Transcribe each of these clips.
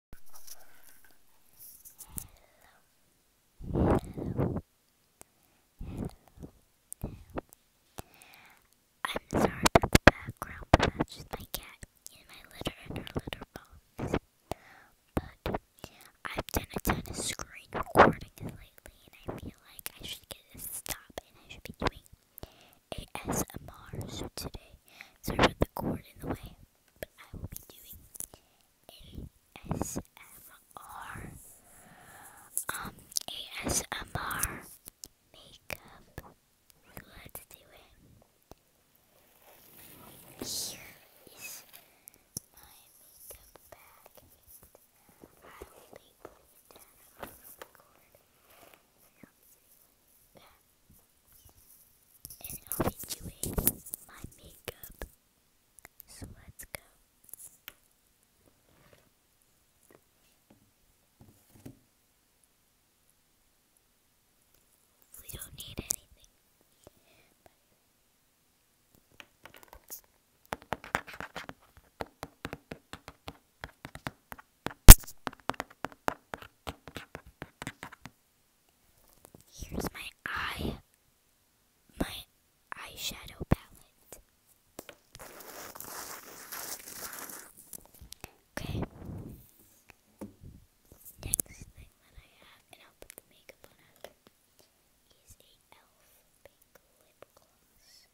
I'm sorry about the background, but that's just my cat in my litter and her litter box. But I've done a ton of screen recording lately, and I feel like I should get a stop, and I should be doing ASMR. So today, sorry about the cord in the way but I will be doing ASMR, um, ASMR makeup. Let's do it. Here is my makeup bag, I will be putting it down. I will and I'll be doing my makeup. So let's go. We don't need anything. Here's my eye, my eyeshadow palette. Okay. Next thing I have, and I'll put the makeup on after, e.l.f. pink lip gloss.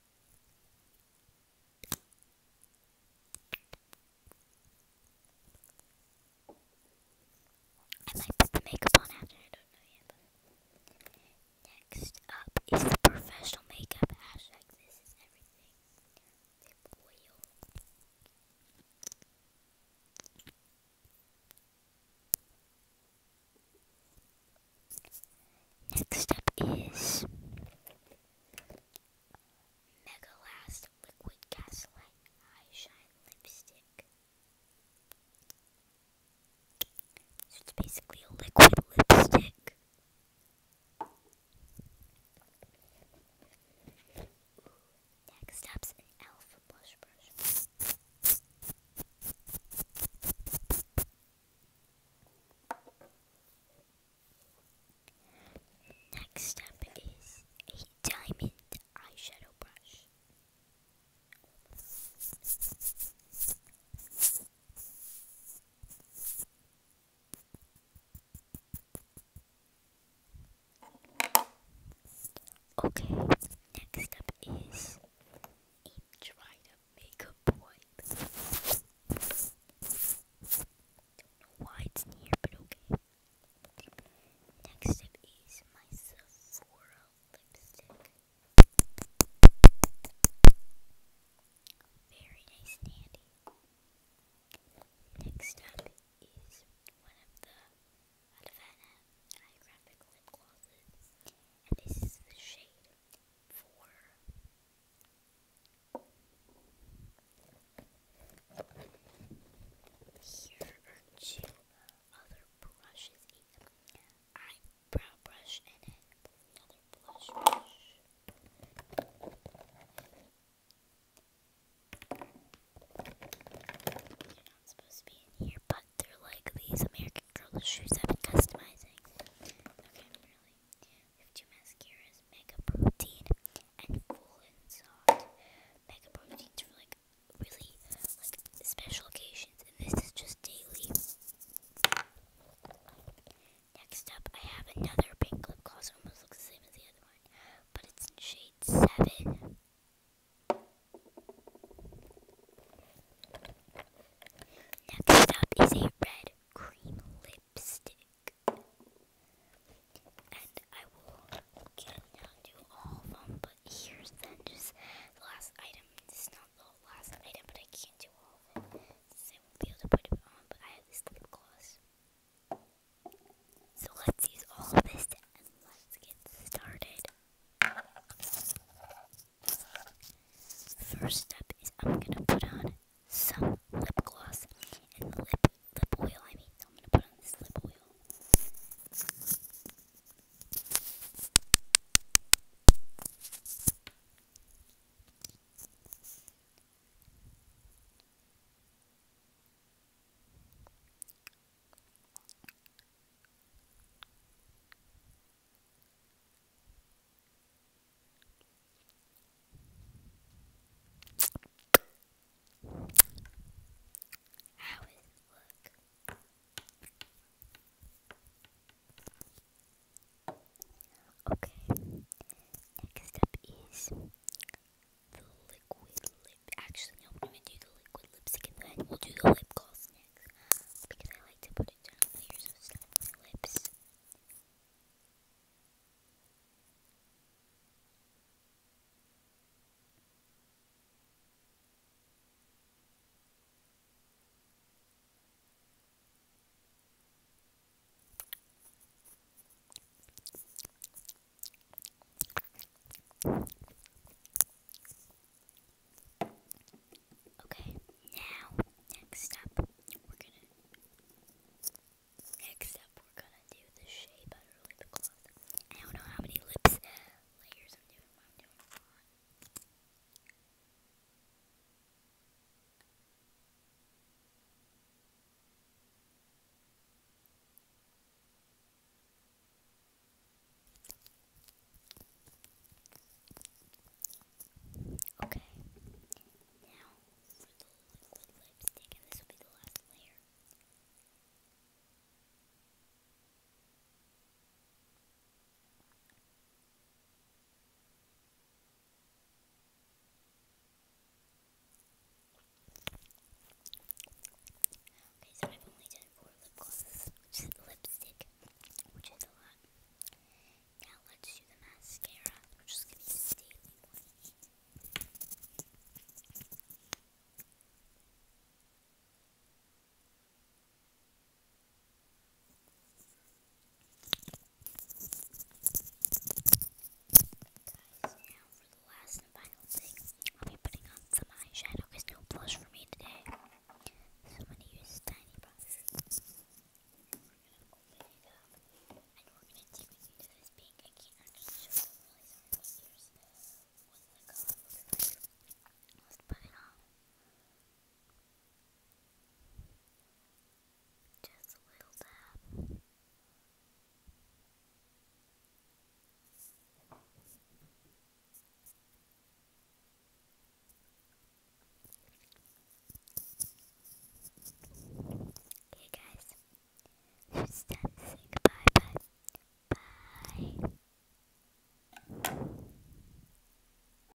I might put the makeup on after, I don't know next up is the professional makeup this is everything. Lip oil. Next up is Mega Last Liquid Gaslight Eye Shine Lipstick. So it's basically a liquid lipstick. Next up's an elf blush brush. Next step is a diamond eyeshadow brush. Okay, next up is a dried make a point. Don't know why it's near, but okay. Next up is my Sephora lipstick. Very nice and Next up is one of the Havana Holographic and this is the shade four. Here are two other brushes, an eyebrow brush and another blush brush. You're not supposed to be in here, but they're like these American Girl shoes I've been customizing. Okay, really. We two mascaras, Mega Protein and Full and Soft. Mega Protein's for like really like special occasions, and this is just daily. Next up, I have another pink lip gloss. Almost looks the same as the other one, but it's in shade seven. Next up is a red cream lipstick. And I will get down to all of them, but here's the last item. This not the last item, but I can't do all of it. Since I won't be able to put it on, but I have this lip gloss. So let's use all of this and let's get started. First step is I'm gonna put on some lip gloss and the lip lip oil. I mean, I'm gonna put on this lip oil. How does it look? Okay, next up is the liquid lip. Actually, I'm gonna do the liquid lipstick and then we'll do the lip gloss next. Because I like to put it down layers of stuff on my lips. Okay, now, next up, we're gonna. Next up, we're gonna do the shea butter lip gloss. I don't know how many lips uh, layers I'm doing, Okay. Now for the liquid lipstick, and this will be the last layer. Okay, so I've only done four lip glosses, lipstick, which is a lot. Now let's do the mascara, which is going to be the daily one. Guys, now for the last and final thing, I'll be putting on some eyeshadow because no blush for me today. So I'm going to use Tiny Brush. We're going to open and we're going to take into this pink. I can't actually show you, really sorry, here's what the color Let's put it on. Just a little dab. guys, it's time to say goodbye, bye. Bye.